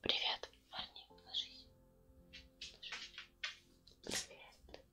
Привет, парни, ложись. Привет.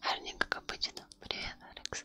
Арненько, как обычно. Привет, Алекс.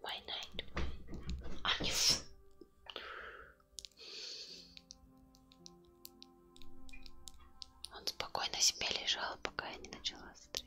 Why night? А не фу. Он спокойно себе лежал, пока я не начала стрим.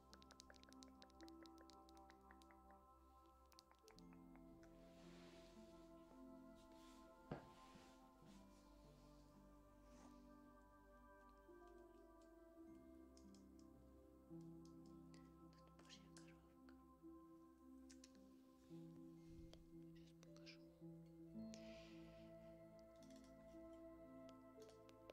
Тут божья коровка. Сейчас покажу.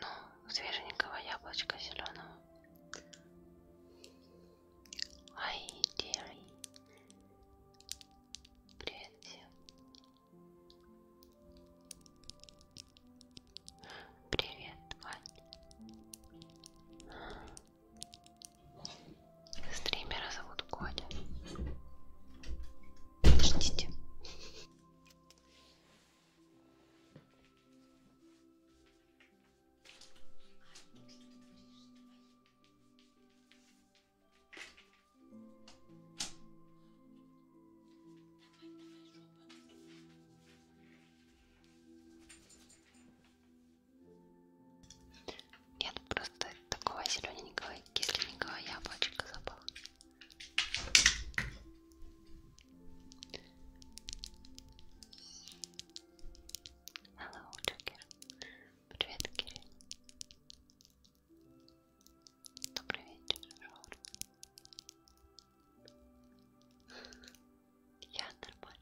ну, свеженького яблочка зеленого. Ай, Дерри. Привет всем. Привет, Вань. Стримера зовут Коля. Подождите. Я тут просто такого зелененького кисленького яблочка запала. Hello, Джокер. Привет, Кирилл. Добрый вечер, Жор. Я нормально.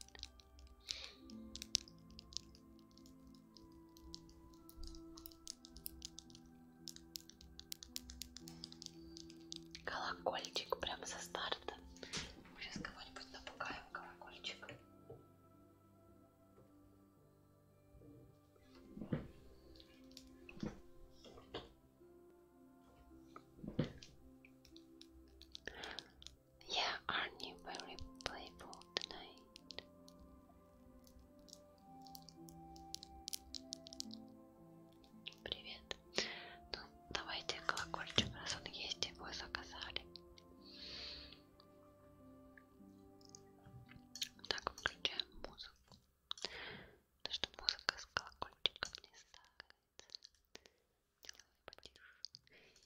Колокольчик прямо со старта. Мы сейчас кого-нибудь напугаем колокольчик. Yeah, aren't you very playful tonight? Привет. Ну, давайте колокольчик, раз он есть, его заказали. Так, включаем музыку. Потому что музыка с колокольчиком не стакается. Делаем потише. Так. Привет.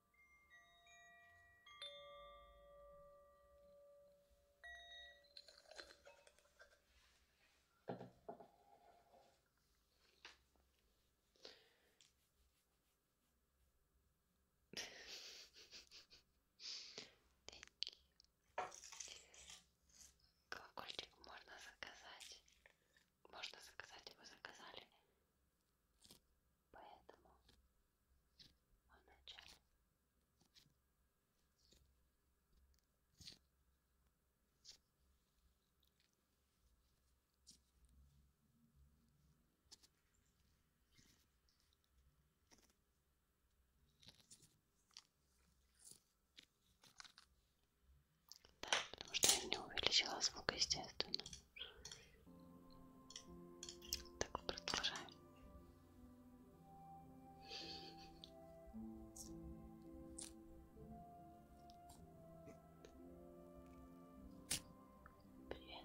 Колокольчик можно заказать. Можно заказать, его заказали. Поэтому в начале. Да, потому что я не увеличила звук, естественно. Так, продолжаем. Привет.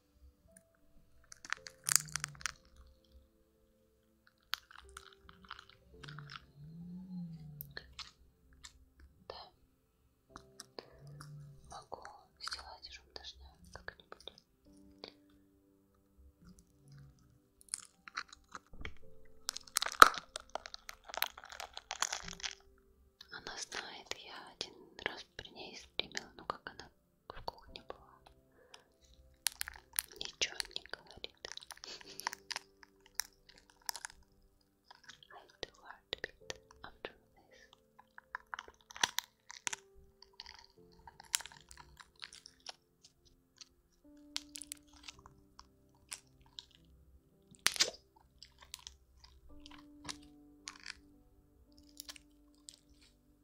Да. Могу сделать шум дождя как-нибудь. Она знает, я один раз при ней стримила, ну как она в кухне была. Ничего не говорит. I do heartbeat after this.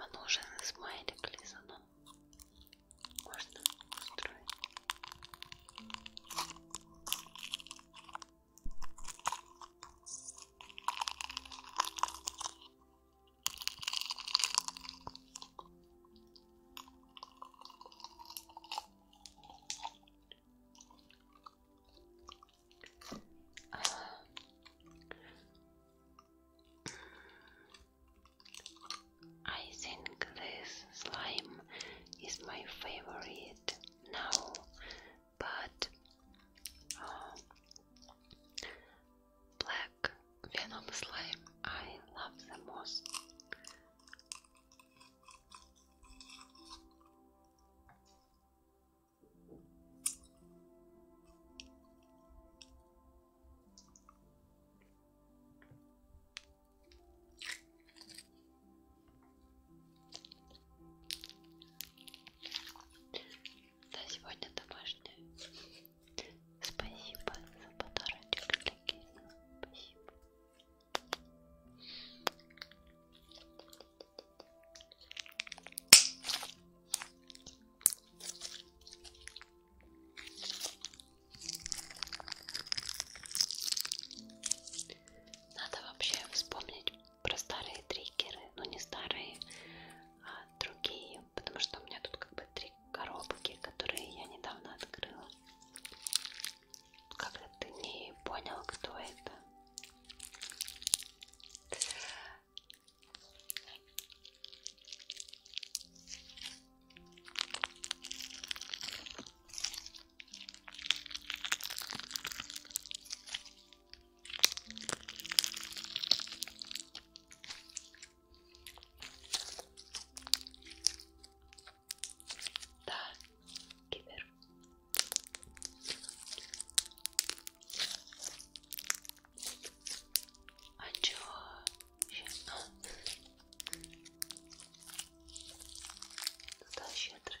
А нужен смайлик лизану. Можно устроить. I think this slime is my favorite now, but um, black venom slime I love the most. за сегодня домашнее. Спасибо за подарочек для Кирилла. Спасибо. Надо вообще вспомнить про старые триггеры, ну не старые, а, другие, потому что у меня тут как бы три коробки, которые я недавно открыла. Как-то ты не понял, кто это. Да, кибер. А чё? Сейчас, ну. А. Туда щедрый.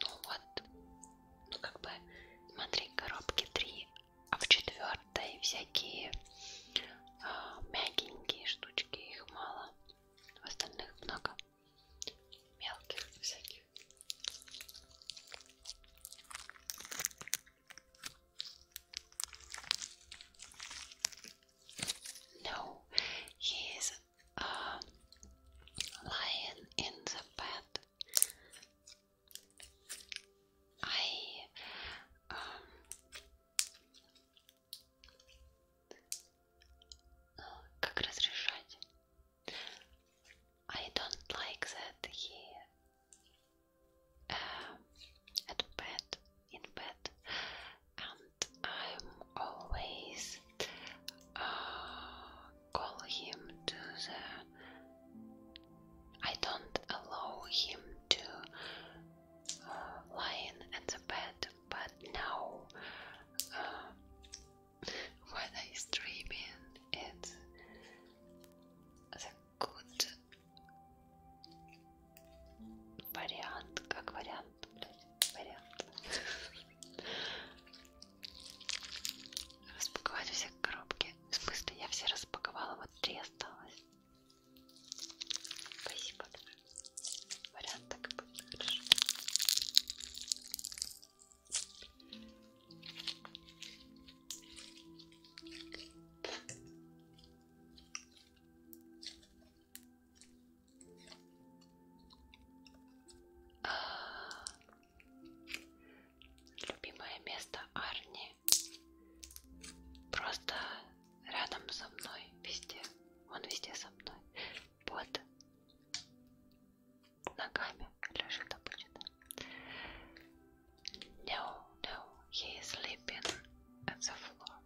Ну вот, ну как бы, смотри, коробки три, а в четвертой всякие а, мягенькие штучки, их мало, в остальных много мелких всяких. No, he is uh, lying in the bed. I um как разрешать? I don't like that he uh, at bed, in bed, and I'm always uh, call him to the. I don't allow him to uh, lying in at the bed, but now when I'm streaming, it's вот вариант, как вариант, блядь, вариант. Распаковать все коробки. В смысле, я все распаковала, вот три осталось. Спасибо. Вариант так и будет хорошо. Любимое место Арни. Просто рядом со мной, везде. Он везде со мной. Под ногами лежит обычно. No, no, he is sleeping at the floor.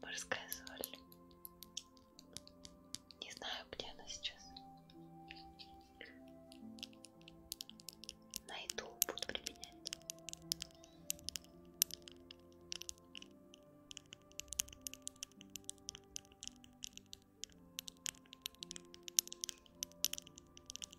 Морская соль. Не знаю, где она сейчас. Найду, буду применять.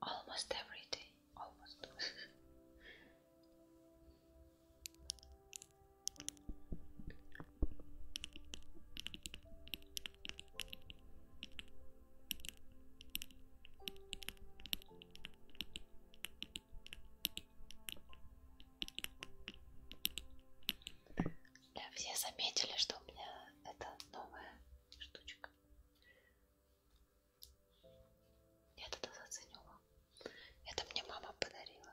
Almost every day. Almost. Да, все заметили, что у меня это новое штучек. Я тогда заценила. Это мне мама подарила.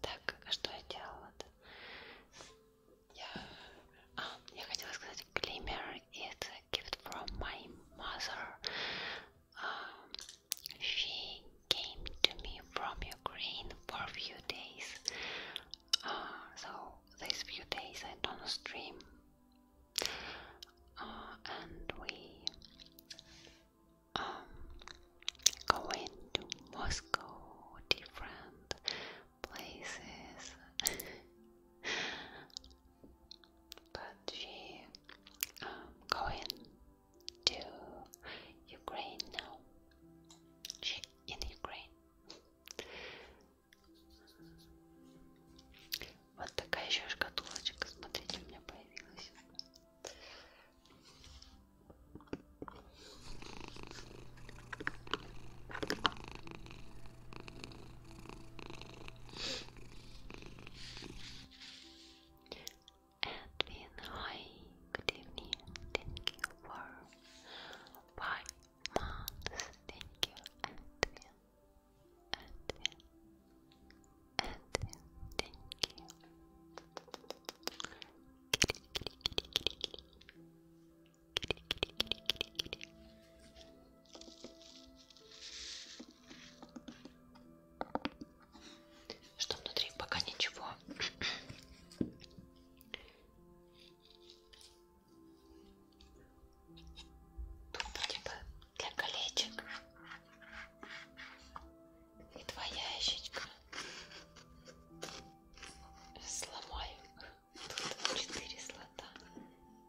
Так, а что я делала-то? Я... А, я хотела сказать, Glimmer is a gift from my mother. Um, she came to me from Ukraine for a few days. Uh, so these few days I don't stream. Uh, and we um, going to Moscow, different places. but we are going to Ukraine now. She in Ukraine. Вот такая еще шкатулочка, смотрите, у меня появилась. Edwin, hi, good evening. Thank you for five months. Thank you, Edwin. Edwin, Edwin, thank you. Что внутри? Пока ничего. Тут вроде бы для колечек. И твоя ящичка. Сломаю. Тут четыре слота.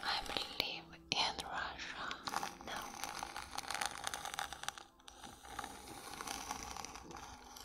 I believe in Russia now.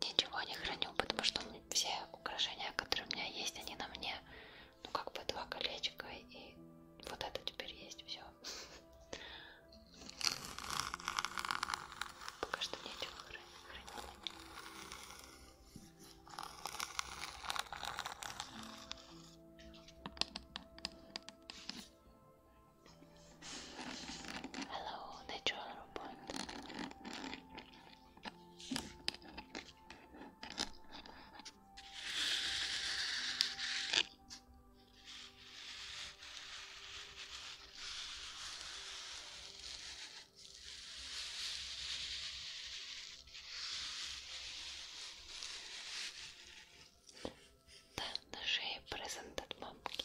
ничего не храню, потому что все украшения, которые у меня есть, они на мне. Ну как бы два колечка и вот это теперь есть все. Пока что нечего хранить. Hello, natural robot. The, the presented monkey.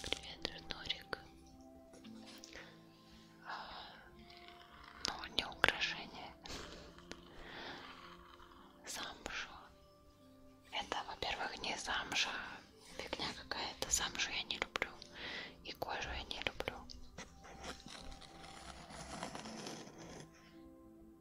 Привет, Ждорик. А, ну, не украшение. Замшу. Это, во-первых, не замша. Фигня какая-то. Замшу я не люблю. И кожу я не люблю.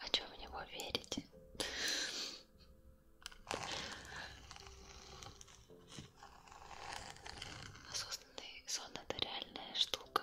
А что в него верите? Осознанный сон это реальная штука.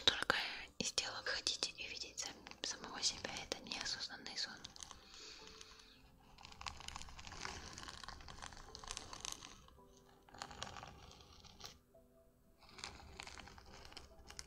Столько из тела вы хотите и видеть самого себя, это неосознанный сон.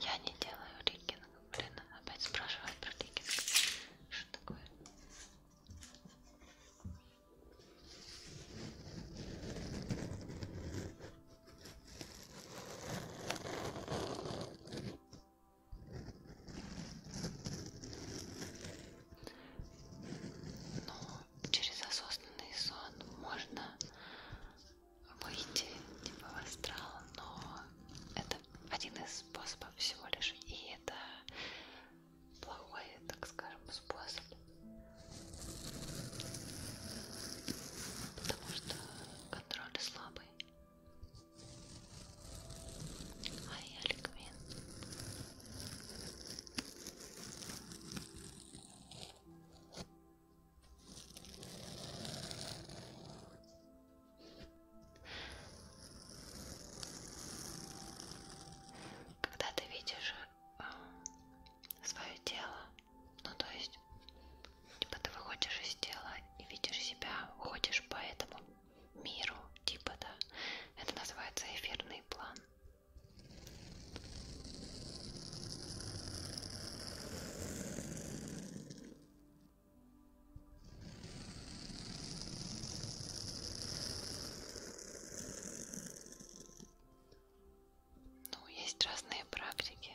Я не делаю ликинг, блин, опять спрашивают про ликинг. Что такое? Но ну, через осознанный сон можно выйти типа в астрал, но это один из способов всего лишь, и это плохой, так скажем, способ. Потому что контроль слабый. А я Ликвин. Когда ты видишь э, свое тело, ну то есть есть, типа ты выходишь из тела и видишь себя, уходишь по этому миру, типа, да, это называется эфирный план. Ну, есть разные практики.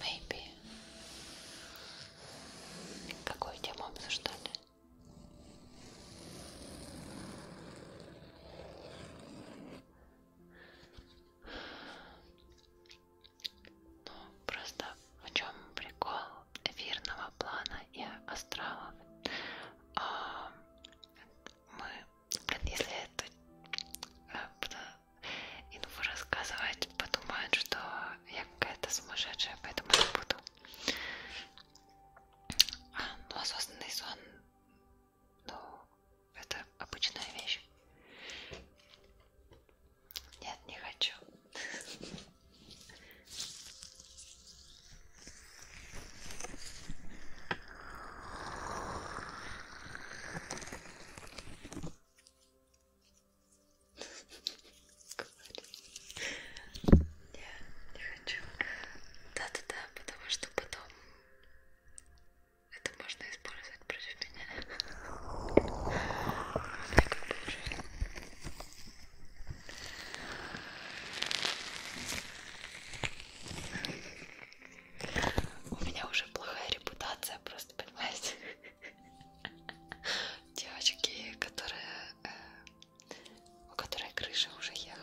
Maybe. Какую тему обсуждали? Ну, просто в чем прикол эфирного плана и астралов? А, мы, блин, если это э, и ну, рассказывать подумают, что я какая-то сумасшедшая, поэтому не буду. А, ну, осознанный сон, ну, это обычная вещь. Нет, не хочу. Я не хочу. Да-да-да, потому что потом это можно использовать против меня. У меня уже плохая репутация, просто понимаете? девочки, которые, э, у которой крыша уже ехала.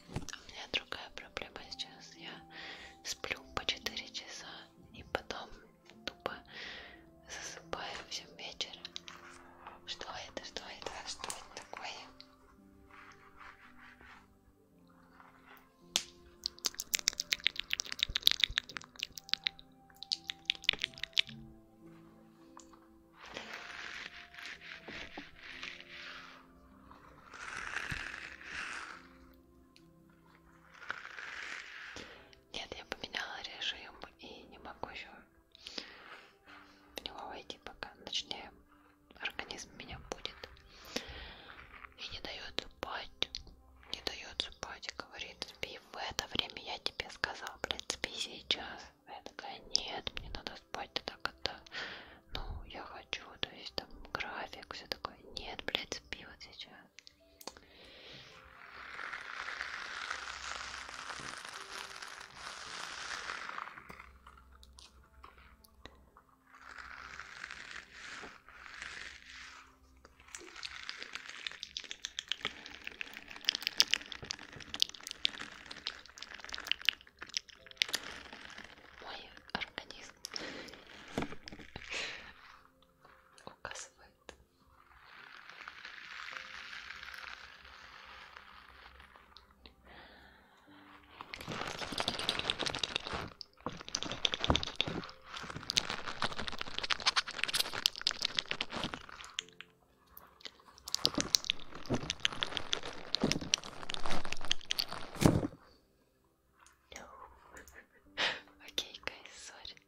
У меня другая проблема сейчас. Я сплю по 4 часа и потом тупо засыпаю всем вечером. Что это? Что это? А что это такое? Нет, я поменяла режим и не могу еще в него войти пока. Точнее, организм меня будет и не дает спать. Не дает спать, говорит, спи в это время я тебе сказал, блядь, спи сейчас. Я такая, нет, мне надо спать, ты такая опыта. Ну, я хочу, то есть там график, все такое. Нет, блядь, спи вот сейчас мой организм указывает. No. okay, guys, sorry.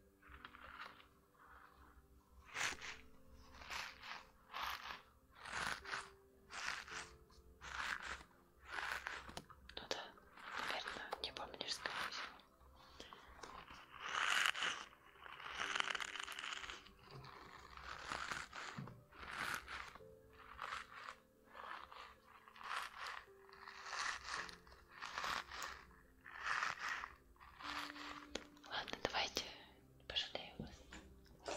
Ну да, наверное, не помнишь, скорее всего. Ладно, давайте пожалею вас.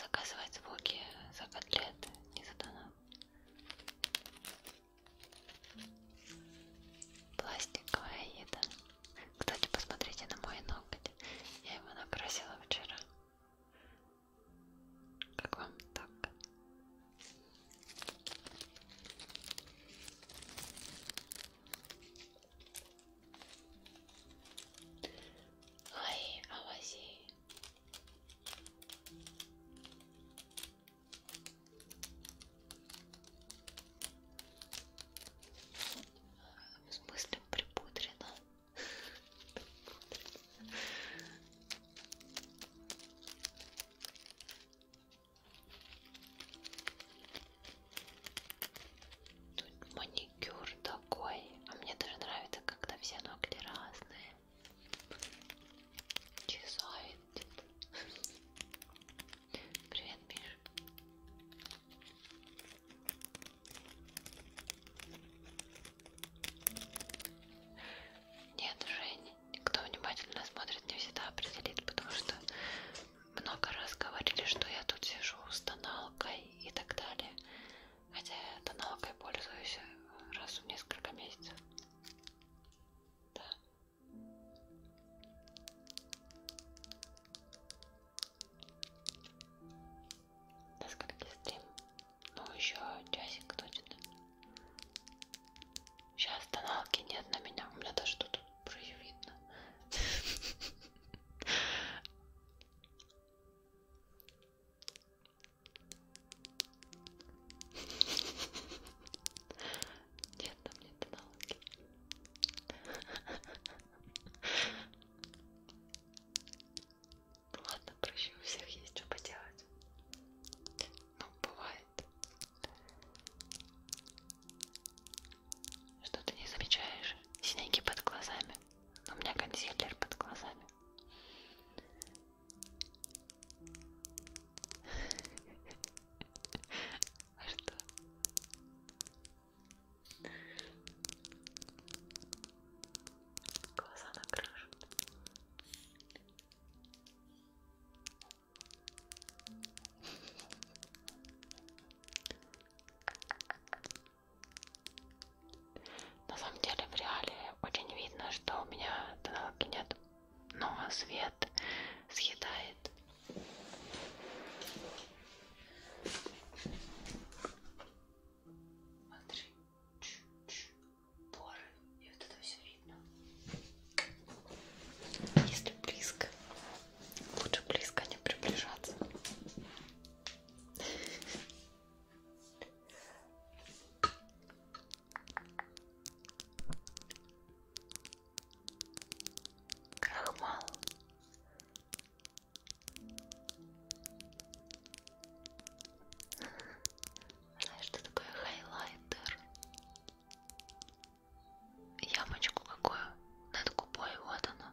заказывать звуки за котлет не за донат. Пластиковая еда. Кстати, посмотрите на мой ноготь. Я его накрасила вчера. Как вам так? Ай, авази. В смысле припудрено? Тут маникюр такой. А мне даже нравится, когда все ногти разные. Чесает. Привет, Миш. Нет, Жень, кто внимательно смотрит, не всегда определит, потому что много раз говорили, что я тут сижу с тоналкой и так далее. Хотя я тоналкой пользуюсь э, раз в несколько месяцев. Да. До скольки стрим? Ну, еще часик точно. Сейчас тоналки нет на меня. У меня даже тут уже видно. Нет, там нет аналоги. Ну ладно, прощу, у всех есть что поделать. Ну, бывает. Что ты не замечаешь? Синяки под глазами. У меня консилер под глазами. А что? Глаза накрашены. На самом деле в реале очень видно, что у меня тоналки нет, но свет съедает. Смотри, Ч -ч -ч. поры, и вот это все видно. Если близко, Лучше близко не приближаться. Крахмал. Знаешь, что такое хайлайтер? Ямочку какую? Над губой, вот она.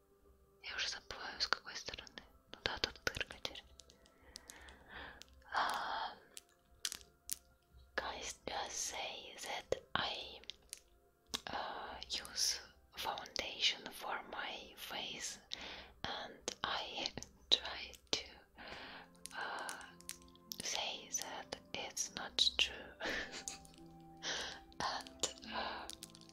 Я уже забываю, с какой стороны. Ну да, тут дырка теперь. guys, just say that I use foundation for my face and I try to say that it's not true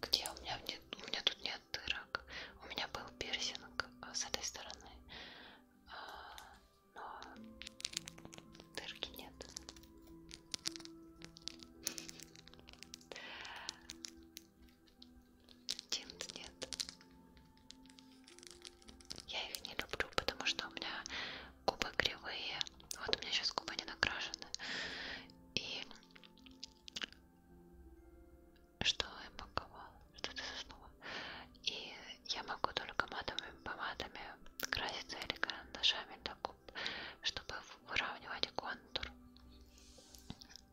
Где у меня нет, у меня тут нет дырок. У меня был пирсинг а, с этой стороны, а, но дырки нет. Тинт нет. Я их не люблю, потому что у меня губы кривые. Вот у меня сейчас губы не накрашены. И что я паковала? Что ты заснула? И я могу только матовыми помадами краситься или карандашами для губ, чтобы выравнивать контур.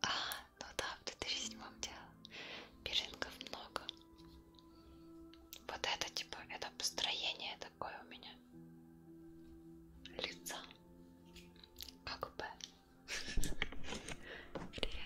А, ну да, в 2007 дело. Пирсингов много. Вот это типа, это построение, это такое у меня лицо, как бы. Привет.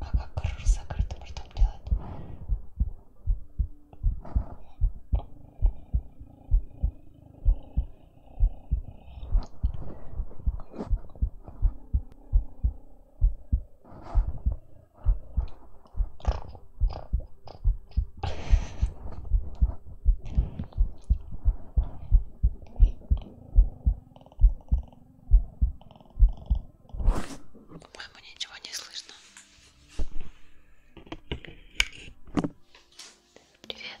А как крышу закрытым ртом делать? По-моему, ничего не слышно. Привет.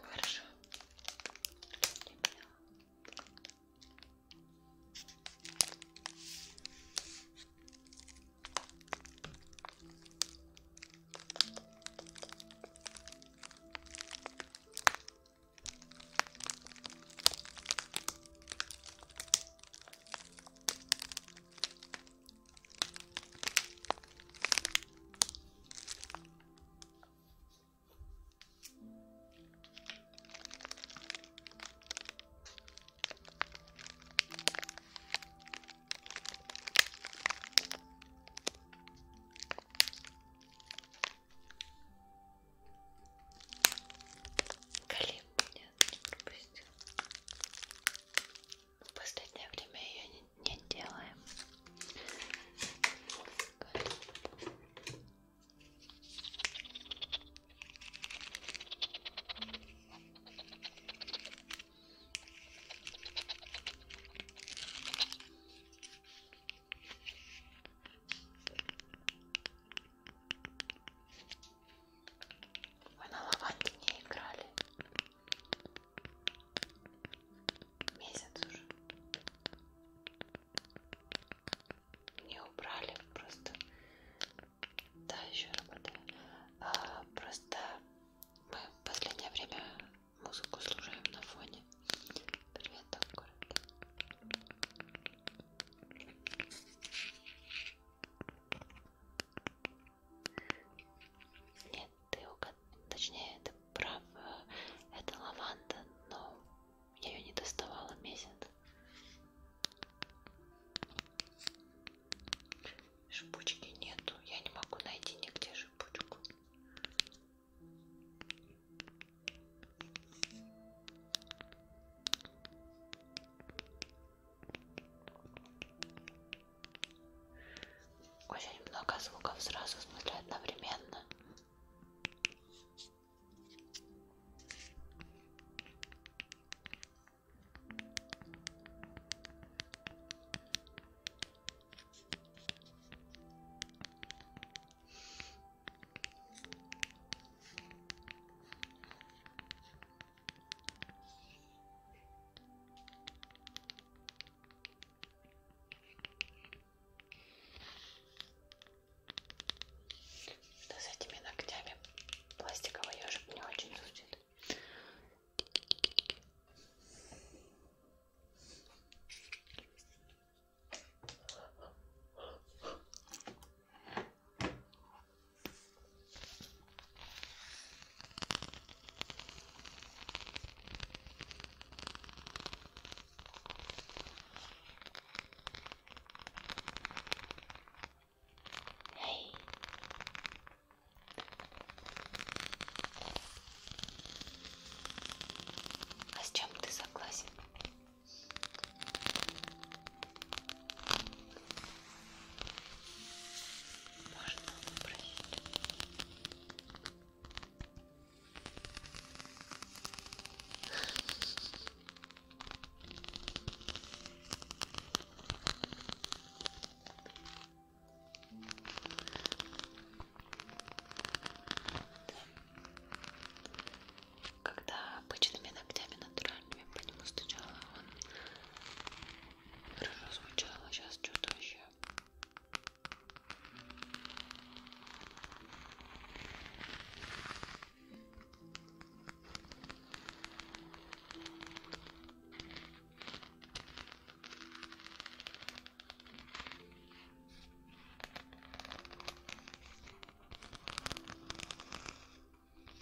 Хорошо. Для меня. Колим меня не пропустил. В последнее время ее не, не делаем. Мы на лаванде не играли месяц уже. Не убрали просто. Да, еще работаю. А, просто мы в последнее время музыку слушаем на фоне. Привет, там город. Нет, ты угад... Точнее, ты прав. Э, это лаванда, но я ее не доставала месяц. Шипучки нету. Я не могу найти нигде шипучку. Очень много звуков сразу, в смысле, одновременно. Да с этими ногтями пластиковый ежик не очень звучит. Эй. А с чем ты согласен? Можно выбрать. Когда обычными ногтями натуральными по нему стучала, он Хорошо звучало, сейчас что-то вообще.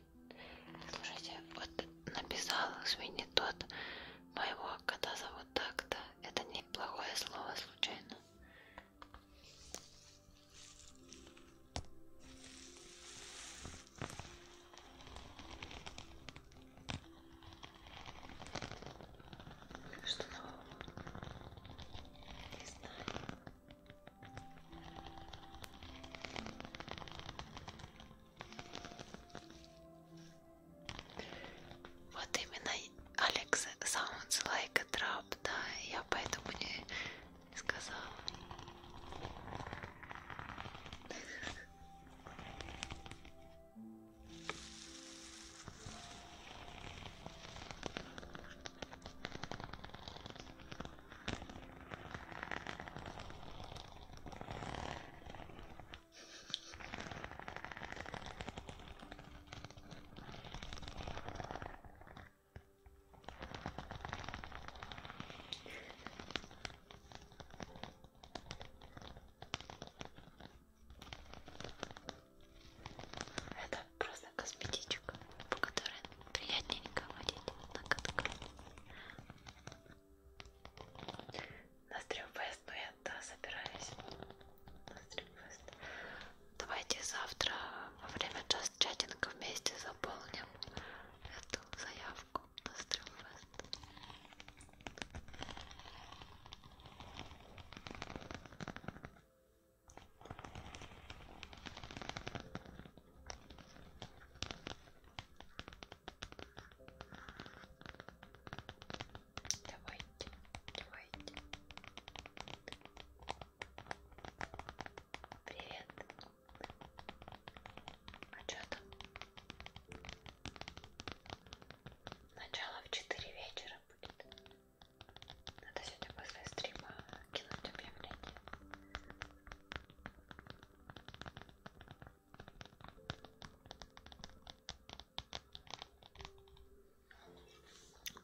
Извини. Слушайте, вот написал извини тот моего кота зовут так-то. Это не плохое слово случайно. Что нового? Не знаю. Вот именно Алекс sounds like a trap, да, я поэтому не сказала. Это просто косметичка, по которой приятненько водить на катках. На стримфест, ну я да, собираюсь. На стримфест. Давайте завтра во время час чатинга вместе заполним эту заявку на стримфест. Давайте, давайте. Привет. А что там? Начало в 4 вечера будет. Надо сегодня после стрима кинуть объявление.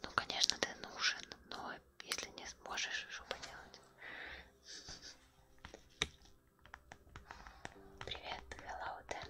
Ну, конечно, ты нужен, но если не сможешь, что поделать? Привет, hello, Dan.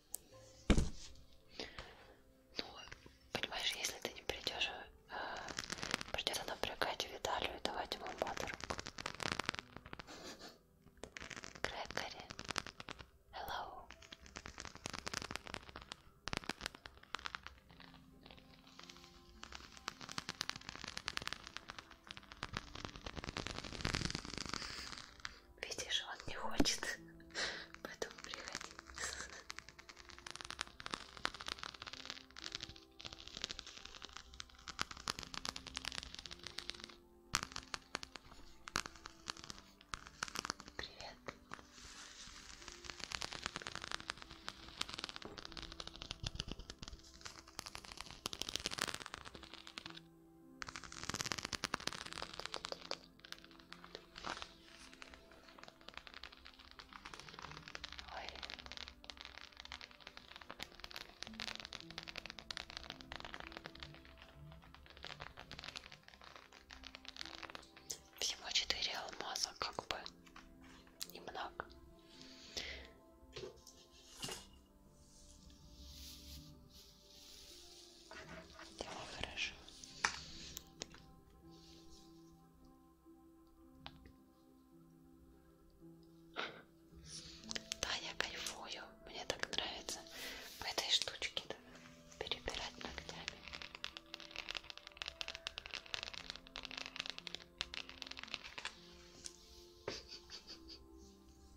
Ну, понимаешь, если ты не придешь, э, придется напрягать Виталию и давать ему подарок. Грегори, hello. Видишь, он не хочет, поэтому приходи. Привет. Ой. Всего четыре алмаза, как бы, и мнак. Давай хорошо. Да, я кайфую. Мне так нравится по этой штучке да, перебирать ногтями.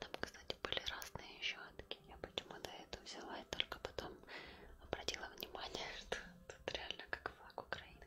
Там, кстати, были разные щетки. Я почему-то эту взяла и только потом обратила внимание, что тут реально как флаг Украины.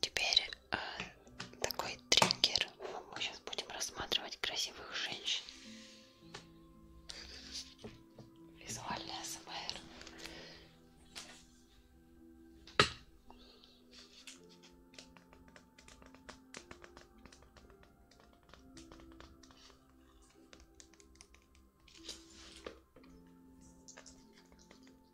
Теперь э, такой триггер. Мы сейчас будем рассматривать красивых женщин. Визуальная СМР.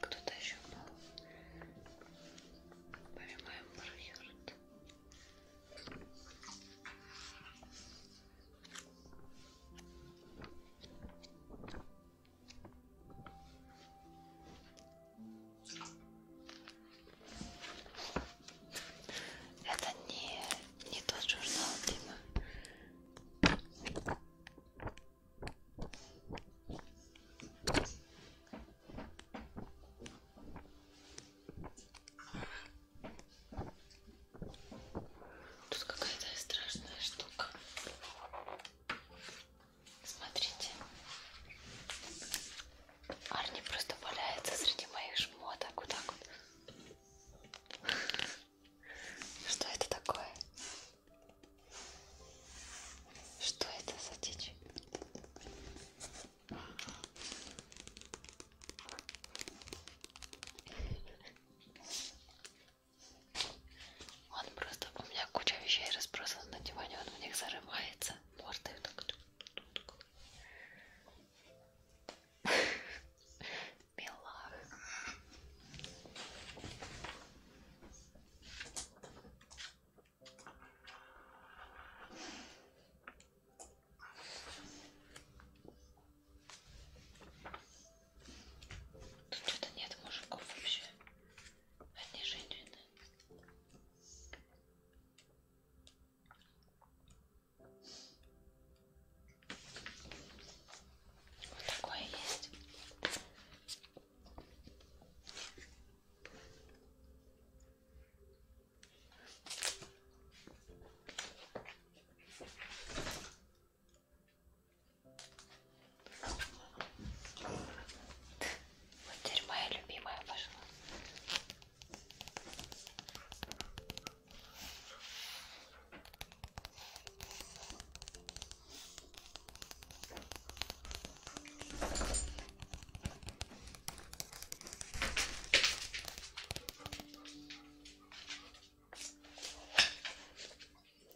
Кто-то еще был. Поймаем маркер. Это не, не тот журнал, Дима. Тут какая-то страшная штука. Смотрите. Арни просто валяется среди моих шмоток. Вот так вот. Что это такое? Что это за дичь? Он просто, у меня куча вещей разбросана на диване, он в них зарывается, мордой так. Мила. Тут что-то нет мужиков вообще. Одни женщины. Вот такое есть. Вот теперь моя любимая пошла.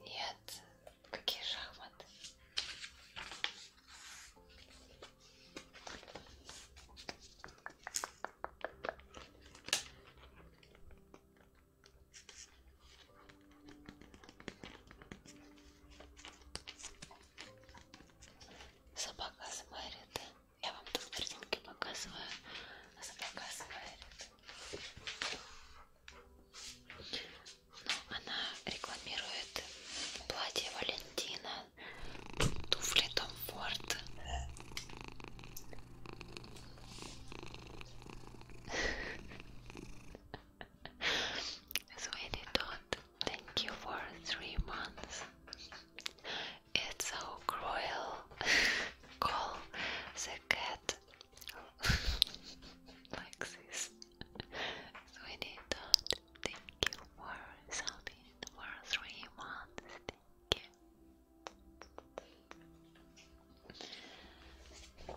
Нет, какие шахматы? собака смарит. Я вам тут картинки показываю. Собака смарит. Но ну, она рекламирует платье Валентина, туфли Том Форд. That's why they don't Thank you for three months. It's so cruel. Call the cat like this. we need that. Thank you for something for three months. Thank you.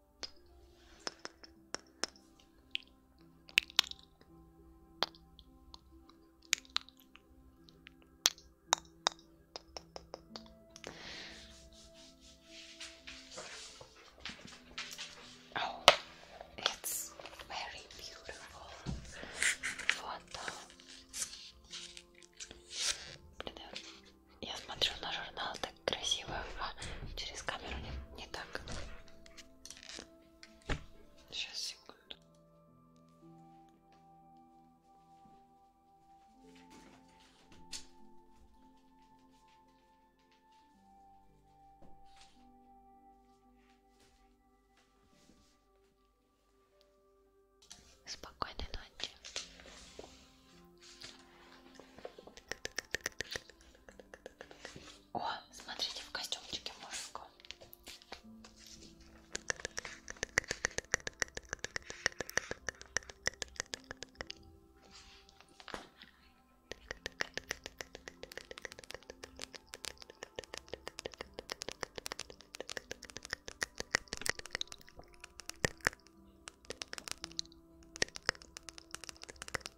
Oh, it's very beautiful. Фото. Yes, Матрёна журнал так красиво, а через камеру не, не так. Сейчас, секунду. Спокойной ночи. О, смотрите, в костюмчике мужику.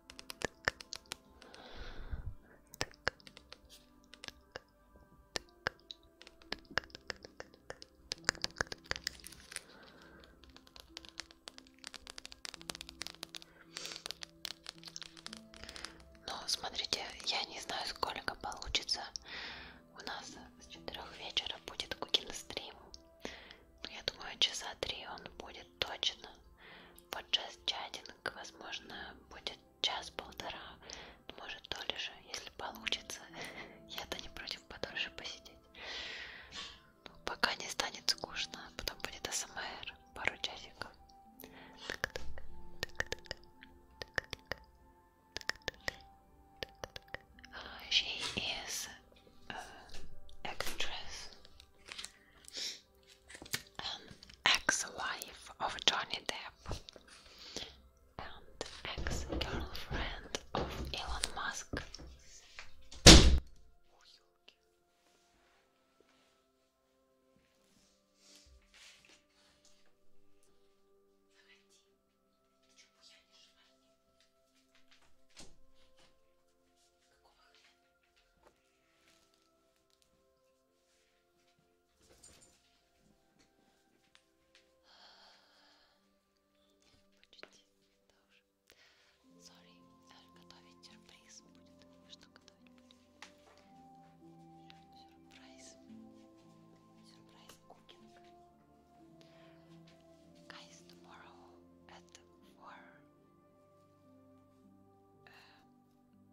так, так, так, ну, смотрите, я не знаю, сколько получится. У нас с четырех вечера будет кукин стрим. Я думаю, часа три он будет точно подчас чатинг, возможно, будет час-полтора, может, дольше, если получится. Я-то не против подольше посидеть. Но ну, пока не станет скучно, а потом будет АСМР, пару часиков. Так, так, так, так, так, так. She is an actress. an um, ex-wife of Johnny Depp and ex-girlfriend of Elon Musk. Почти, да уже. Sorry, даже э, готовить сюрприз будет. Что готовить будет? Сюрприз. Сюрприз кукинг. Guys, tomorrow at 4 uh, э,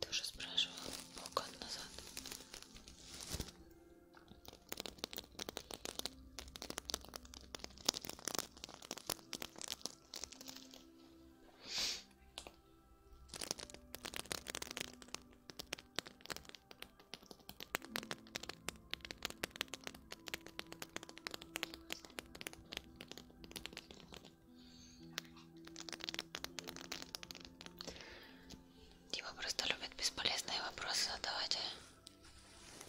Ты уже спрашивала полгода назад. Дима просто любит бесполезные вопросы задавать. А?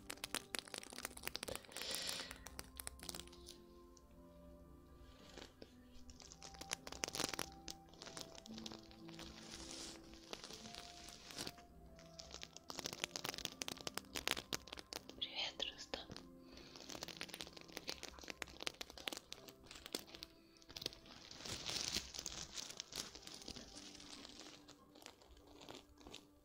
Привет, Рустам.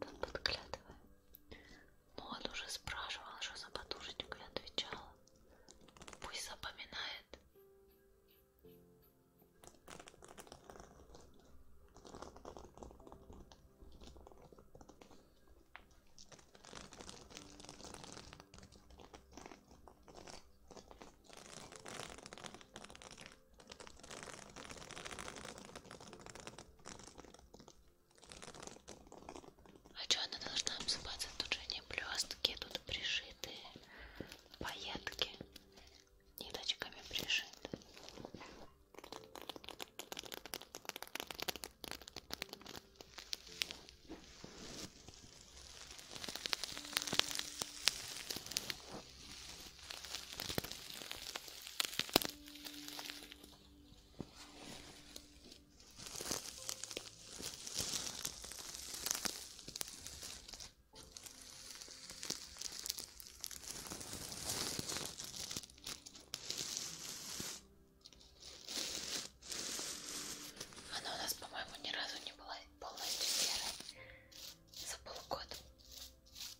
Тут подглядывая. Но ну, он уже спрашивал, что за подушечку я отвечала. Пусть запоминает. А что она должна обсыпаться? Тут же не блестки, тут пришиты поетки ниточками пришиты. Она у нас, по-моему, ни разу не была полностью серой за полгода.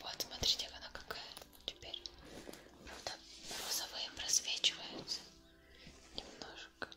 Вот, смотрите, она какая теперь. Правда, розовые просвечиваются немножко.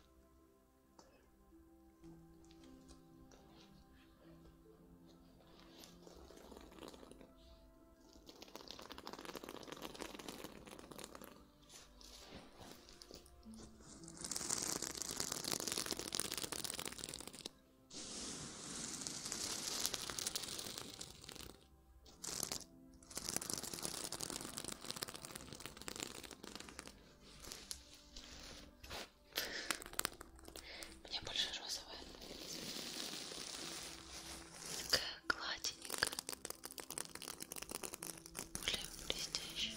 Мне больше розовая нравится такая гладенькая, более блестящая.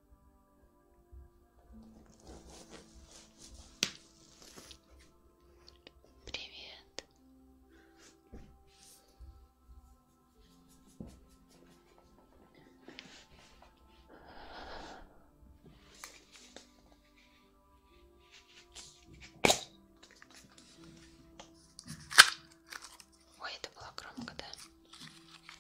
Привет. Ой, это было громко, да?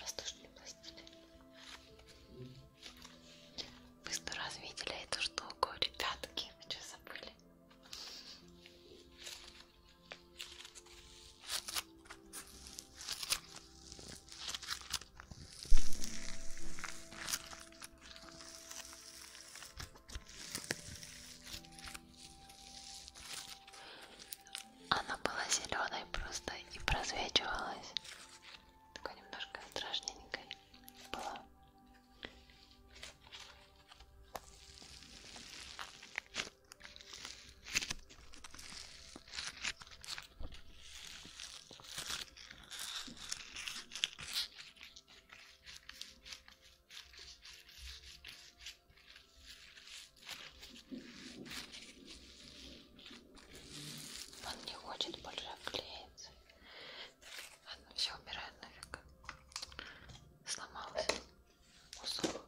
Воздушные пластины. Вы сто раз видели эту штуку, ребятки, вы что забыли? Она была зеленой просто и просвечивалась. Такой немножко страшненькой была. Он не хочет больше обклеиться. Ладно, все убирает нафиг. Сломался. Кусок.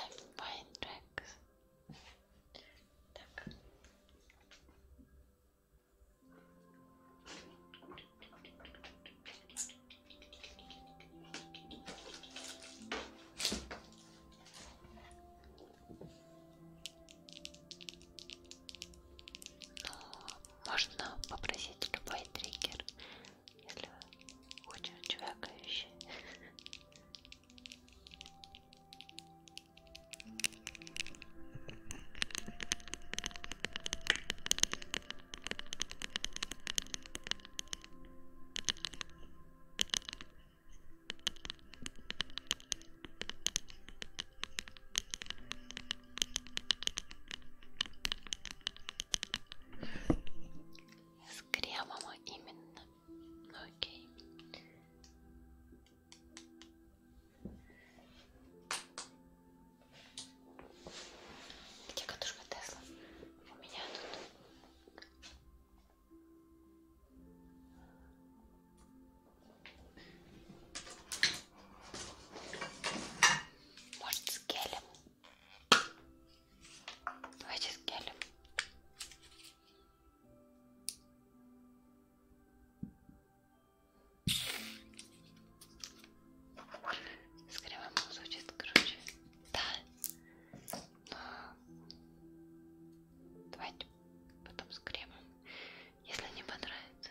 I'm fine, Джекс. Так. Ну, можно попросить любой триггер если вы очень чвякающий с кремом именно. Ну, окей. Где катушка Тесла? У меня тут. Может, с гелем? Давайте с гелем. С кремом звучит короче. Да. Но... Давайте потом с кремом. Если не понравится.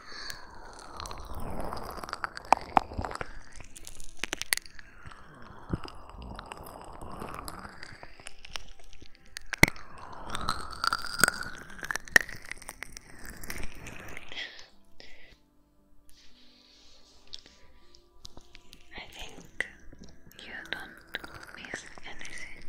I think you don't miss anything.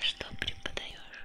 Что преподаешь?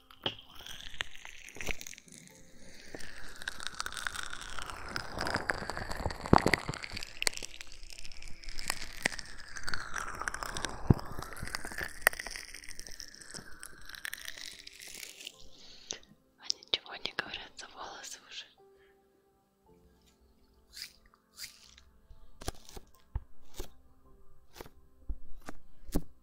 А ничего не говорят за волосы уже.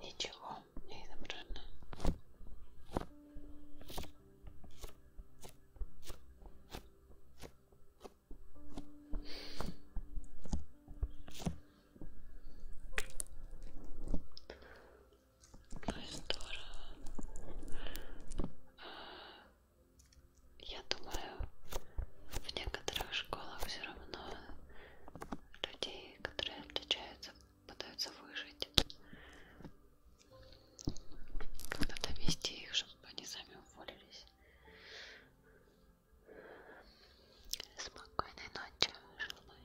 Ничего не изображено. Ну и здорово. А, я думаю, в некоторых школах все равно людей, которые отличаются, пытаются выжить. Когда-то вести их, чтобы они сами уволились. Спокойной ночи, желаю.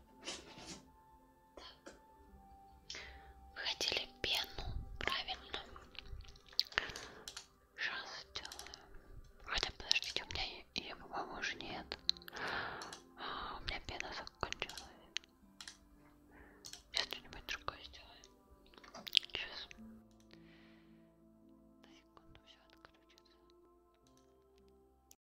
Так. Вы хотели пену, правильно? Сейчас сделаю. Хотя, подождите, у меня ее, по-моему, уже нет. А, у меня пена закончилась. Сейчас что-нибудь другое сделаем. Сейчас. На секунду все отключится.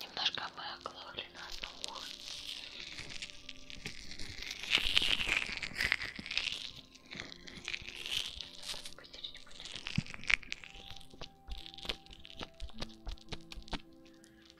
Немножко мы оглохли на одно ухо.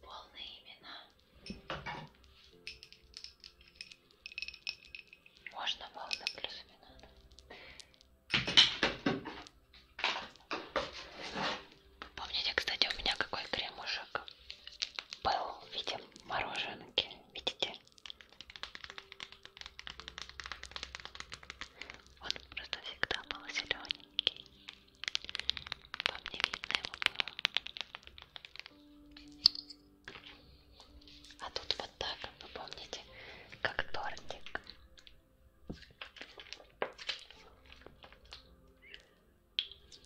Полные имена. Можно полные плюс имена. Да? Помните, кстати, у меня какой кремушек был в виде мороженки, видите? Он просто всегда был зелененький. Вам не видно его было. А тут вот так, вы помните, как тортик.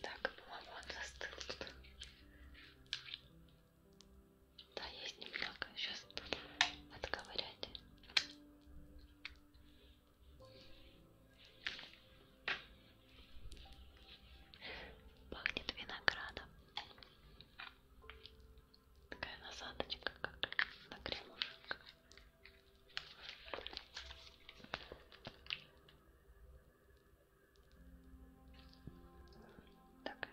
Так, по-моему, он застыл тут. Да, есть немного. Сейчас отковырять. Пахнет виноградом. Такая насадочка, как на кремушек. Так,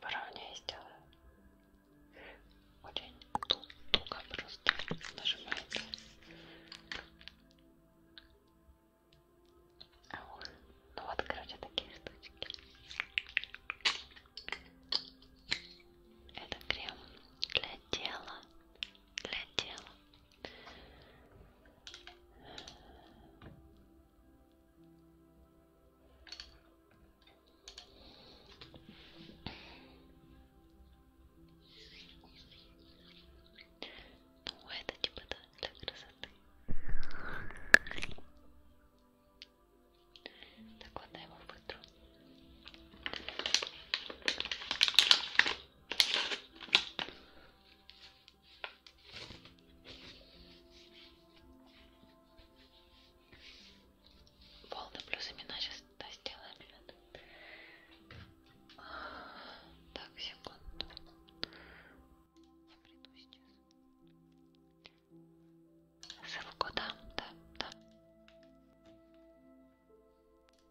поровнее сделаю. Очень туго просто нажимается. А вот, ну вот, короче, такие штучки. Это крем для тела для дела. Ну, это типа да, для красоты. Так, ладно, я его вытру. Волны плюс имена сейчас да, сделаем, ребят. Так, секунду. Я приду сейчас. Ссылку дам, да, да.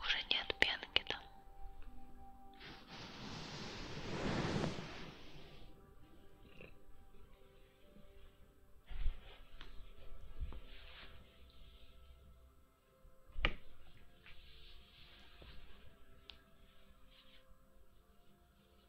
Уже нет пенки там.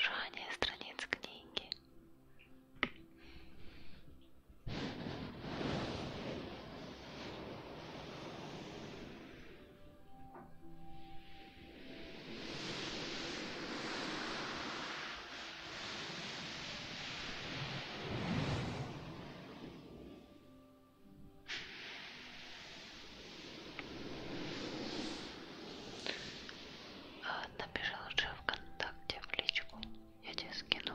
Шуршание страниц книги. Напиши лучше ВКонтакте в личку. Я тебе скину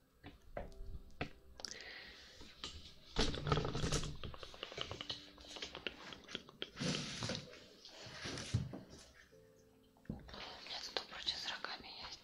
У меня тут обручи с рогами есть.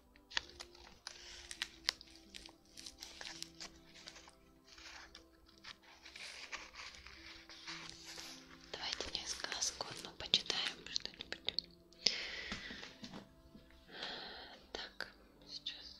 Давайте мне сказку одну почитаем что-нибудь. Так, сейчас.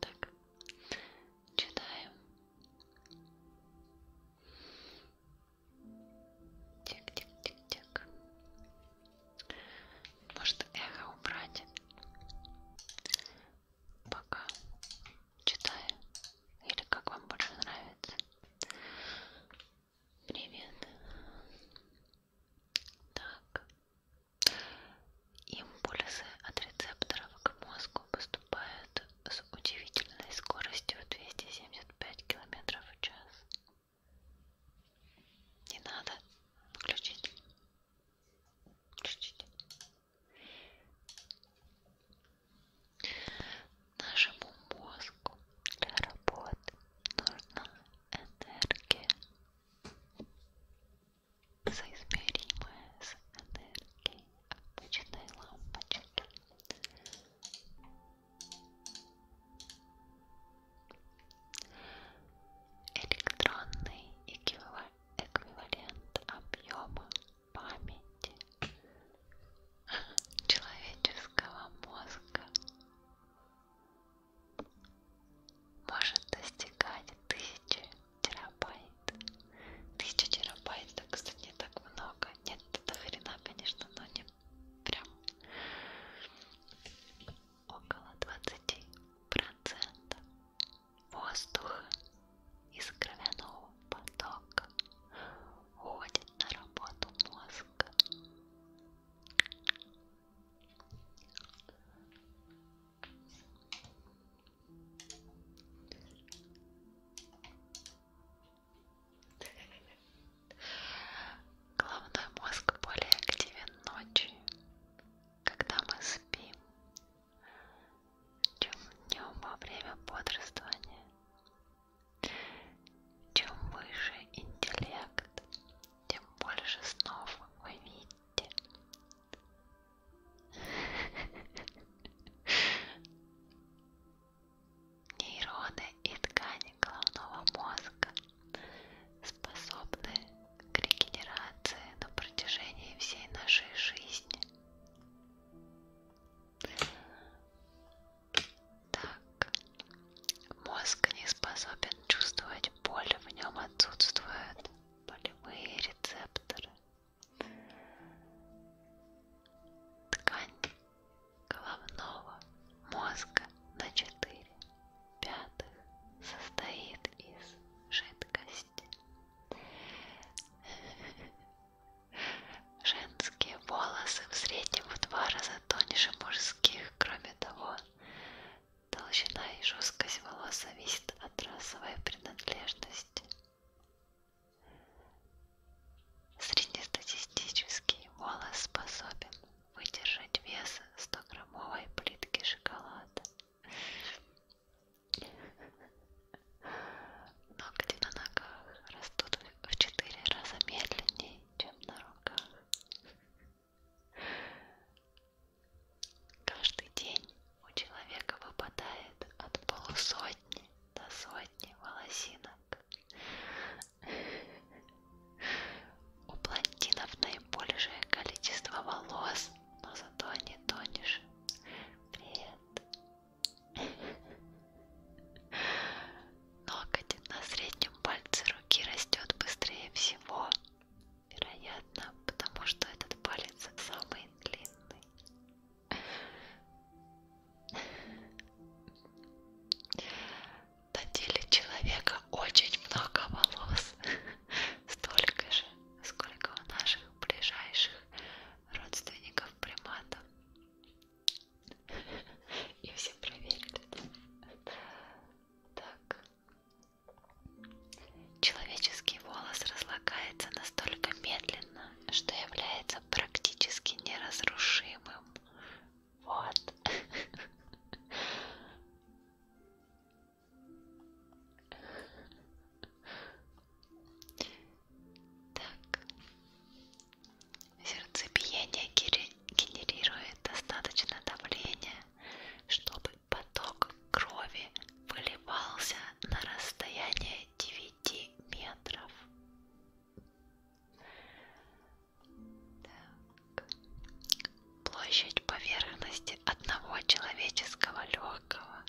Так, читаем тик-тик-тик-тик может эхо убрать пока читаю или как вам больше нравится Привет. Так. Импульсы от рецепторов к мозгу поступают с удивительной скоростью 275 км в час. Не надо включить. Включить. Нашему мозгу для работы нужна энергия, соизмеримая с энергией обычной лампочки. Электронный эквивалент объема памяти человеческого мозга может достигать тысячи терабайт. Тысяча терабайт, это, кстати, не так много. Нет, это хрена, конечно, но не прям около 20% воздуха из кровяного потока уходит на работу мозга. Головной мозг более активен ночью, когда мы спим, чем днем во время бодрствования. Чем выше интеллект, тем больше снов вы видите. Нейроны и ткани головного мозга способны к регенерации на протяжении всей нашей жизни. Так. Мозг не способен чувствовать боль, в нем отсутствуют болевые рецепторы. Ткань головного мозга на 4 пятых состоит из жидкости. Женский волосы в среднем в два раза тоньше мужских. Кроме того, толщина и жесткость волос зависит от расовой принадлежности. Среднестатистический волос способен выдержать вес 100-граммовой плитки шоколада. Ногти на ногах растут в 4 раза медленнее, чем на руках. Каждый день у человека выпадает от полусотни до сотни волосинок. У блондинов наибольшее количество волос, но зато они тонешь. Привет. Ноготь на среднем пальце руки растет быстрее всего, вероятно, потому что этот палец самый длинный. На теле человека очень много волос, столько же, сколько у наших ближайших родственников приматов. И все проверили. Так. Человеческий волос разлагается настолько медленно, что является практически неразрушимым. Вот. Так. Сердцебиение генерирует достаточно давления, чтобы поток крови выливался на расстояние 9 метров. Так. Площадь поверхности одного человеческого легкого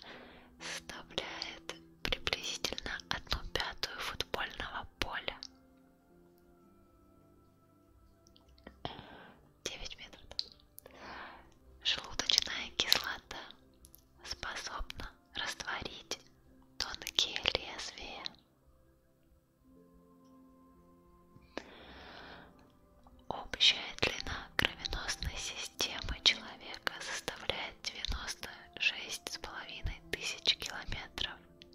составляет приблизительно одну пятую футбольного поля. 9 метров. Желудочная кислота способна растворить тонкие лезвия. Общая длина кровеносной системы человека составляет 96,5 тысяч километров.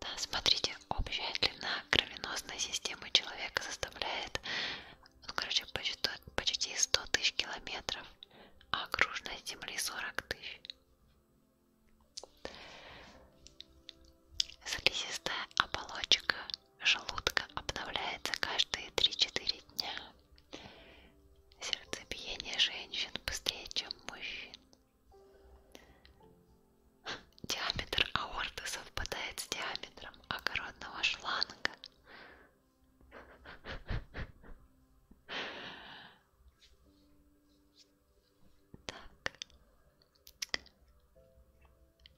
Да, смотрите, общая длина кровеносной системы человека составляет, ну, короче, почти 100 тысяч километров, а окружной земли 40 тысяч. Слизистая оболочка желудка обновляется каждые 3-4 дня. Сердцебиение женщин быстрее, чем мужчин. Диаметр аорты совпадает с диаметром огородного шланга. Так.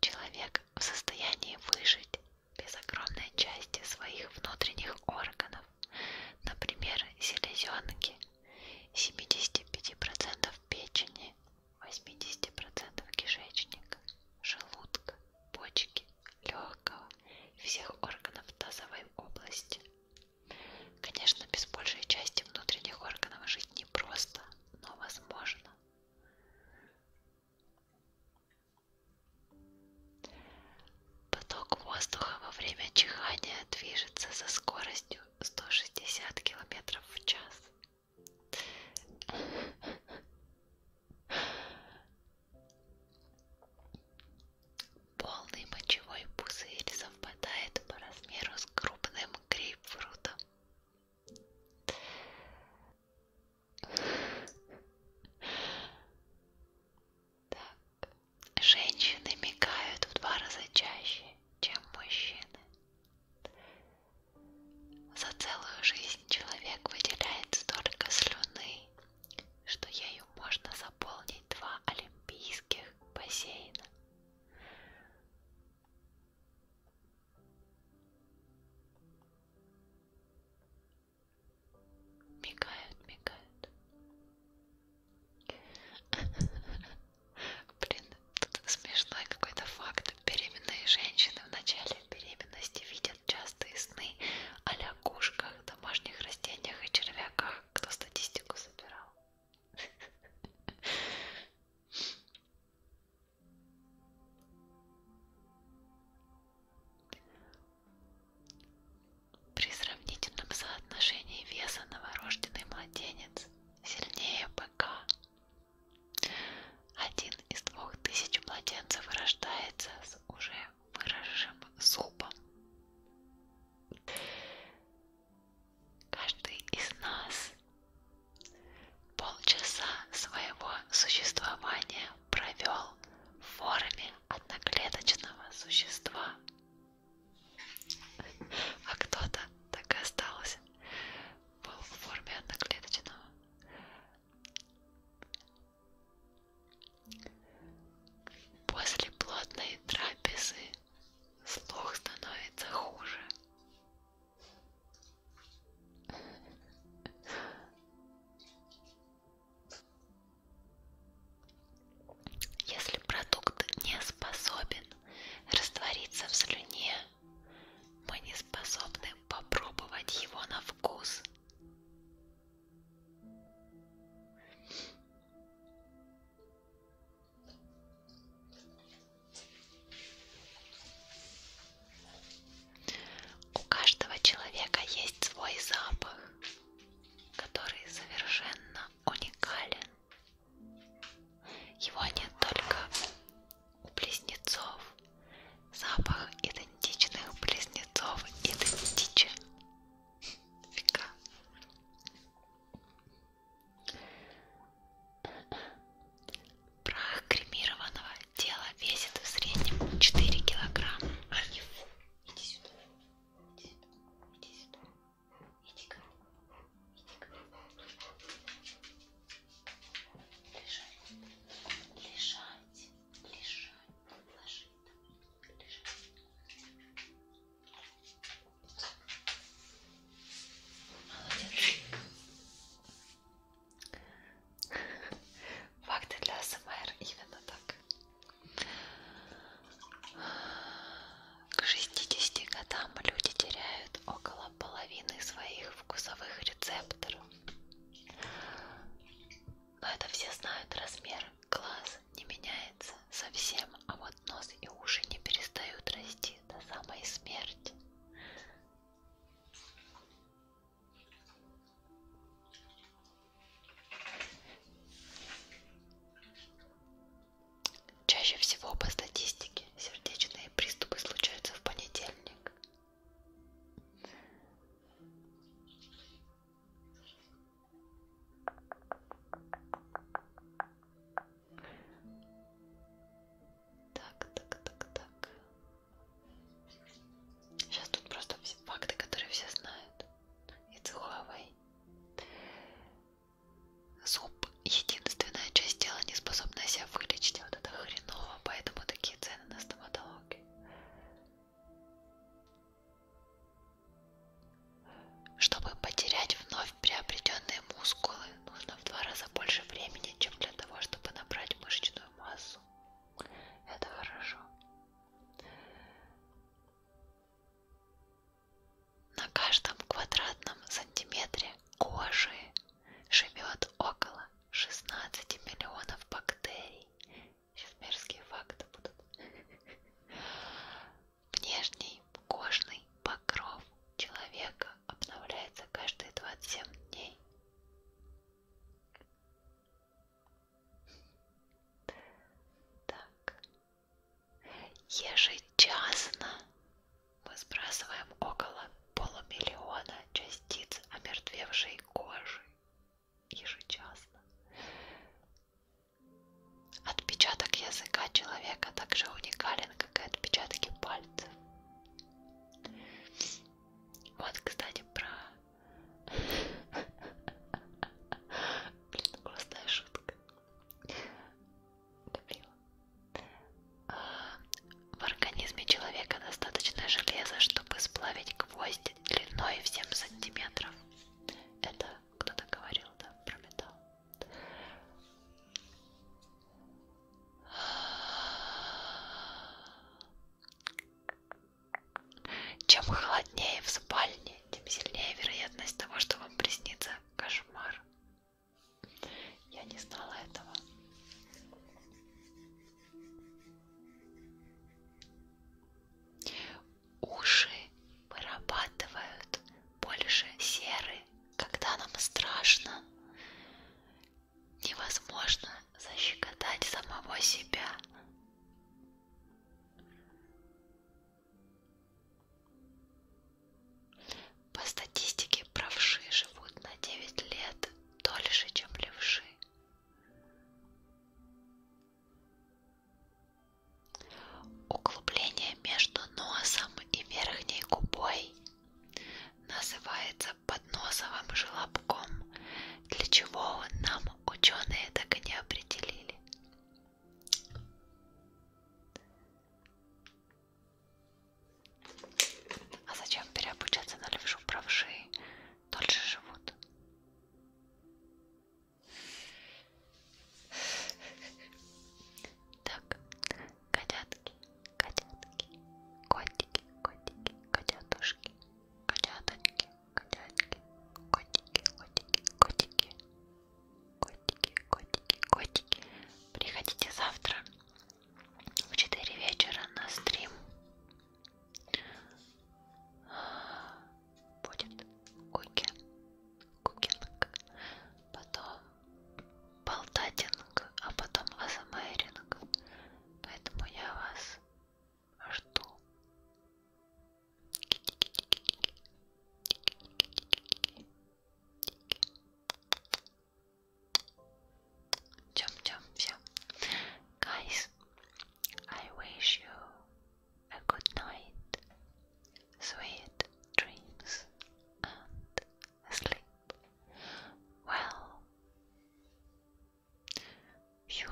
Человек в состоянии выжить без огромной части своих внутренних органов, например, селезенки, 75% печени, 80% кишечника, желудка, почки, легкого и всех органов тазовой области. Конечно, без большей части внутренних органов жить непросто, но возможно. Поток воздуха во время чихания движется со скоростью 160 километров в час. Полный мочевой пузырь совпадает по размеру с крупным грейпфрутом. Так. Женщины мигают в два раза чаще чем мужчины. За целую жизнь человек выделяет столько слюны, что ею можно заполнить два олимпийских бассейна. Мигают, мигают. Блин, тут смешной какой-то факт. Беременные женщины в начале беременности видят частые сны о кошках, домашних растениях и червяках. Кто статистику собирал? При сравнительном соотношении веса новорожденный младенец сильнее быка. Один из двух тысяч младенцев рождается с уже выросшим зубом. Каждый из нас полчаса своего существования провел в форме одноклеточного существа, а кто-то так и остался. Был в форме одноклеточного. После плотной трапезы слух становится хуже. Если продукт не способен растворится в слюне. Мы не способны попробовать его на вкус. У каждого человека есть свой запах, который совершенно уникален. Его нет только у близнецов. Запах идентичных близнецов идентичен. Фига. Прах кремированного тела весит в среднем 4 килограмма. А не фу. Иди сюда. Иди сюда. Иди сюда. Иди-ка. Иди-ка. Лежать. Лежать. Лежать. Ложи там. Лежать. Молодец. Факты для СМР именно так. К 60 годам люди теряют около половины своих вкусовых рецепторов. Но это все знают, размер глаз не меняется совсем, а вот нос и уши не перестают расти до самой смерти. Чаще всего по статистике сердечные приступы случаются в понедельник. Так, так, так, так. Сейчас тут просто факты, которые все знают. И Цуховой. Зуб единственная часть тела, не способная себя вылечить, а вот это хреново, поэтому такие цены на стоматологию. Чтобы потерять вновь приобретенные мускулы, нужно в два раза больше времени, чем для того, чтобы набрать мышечную массу. Это хорошо. На каждом квадратном сантиметре кожи живет около 16 миллионов бактерий. Сейчас мерзкие факты будут. Внешний кожный покров человека обновляется каждые 27 дней. Так, Ежечасно мы сбрасываем около полумиллиона частиц омертвевшей кожи. Ежечасно. Отпечаток языка человека также уникален, как и отпечатки пальцев. Вот, кстати, про... Блин, классная шутка. Любила. В организме человека достаточно железа, чтобы сплавить гвоздь длиной в 7 сантиметров. Это кто-то говорил, да, про металл. Чем холоднее в спальне, тем сильнее вероятность того, что вам приснится кошмар. Я не знала этого. Уши вырабатывают больше серы, когда нам страшно. Невозможно защекотать самого себя. По статистике правши живут на 9 лет дольше, чем левши. Углубление между носом и верхней губой называется подносовым желобком, для чего нам ученые так и не определили. А зачем переобучаться на левшу правши? Дольше живут. Так, котятки, котятки, котики, котики, котятушки, котяточки, котятки, котики, котики, котики. Котики, котики, котики. Приходите завтра в 4 вечера на стрим. Будет куки, кукинг, потом болтатинг, а потом азамеринг. Поэтому я вас жду. Jump, jump, jump. Guys, I wish you a good night, sweet dreams, and sleep well. Все,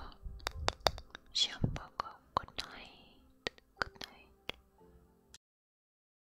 всем пока, good night, good night.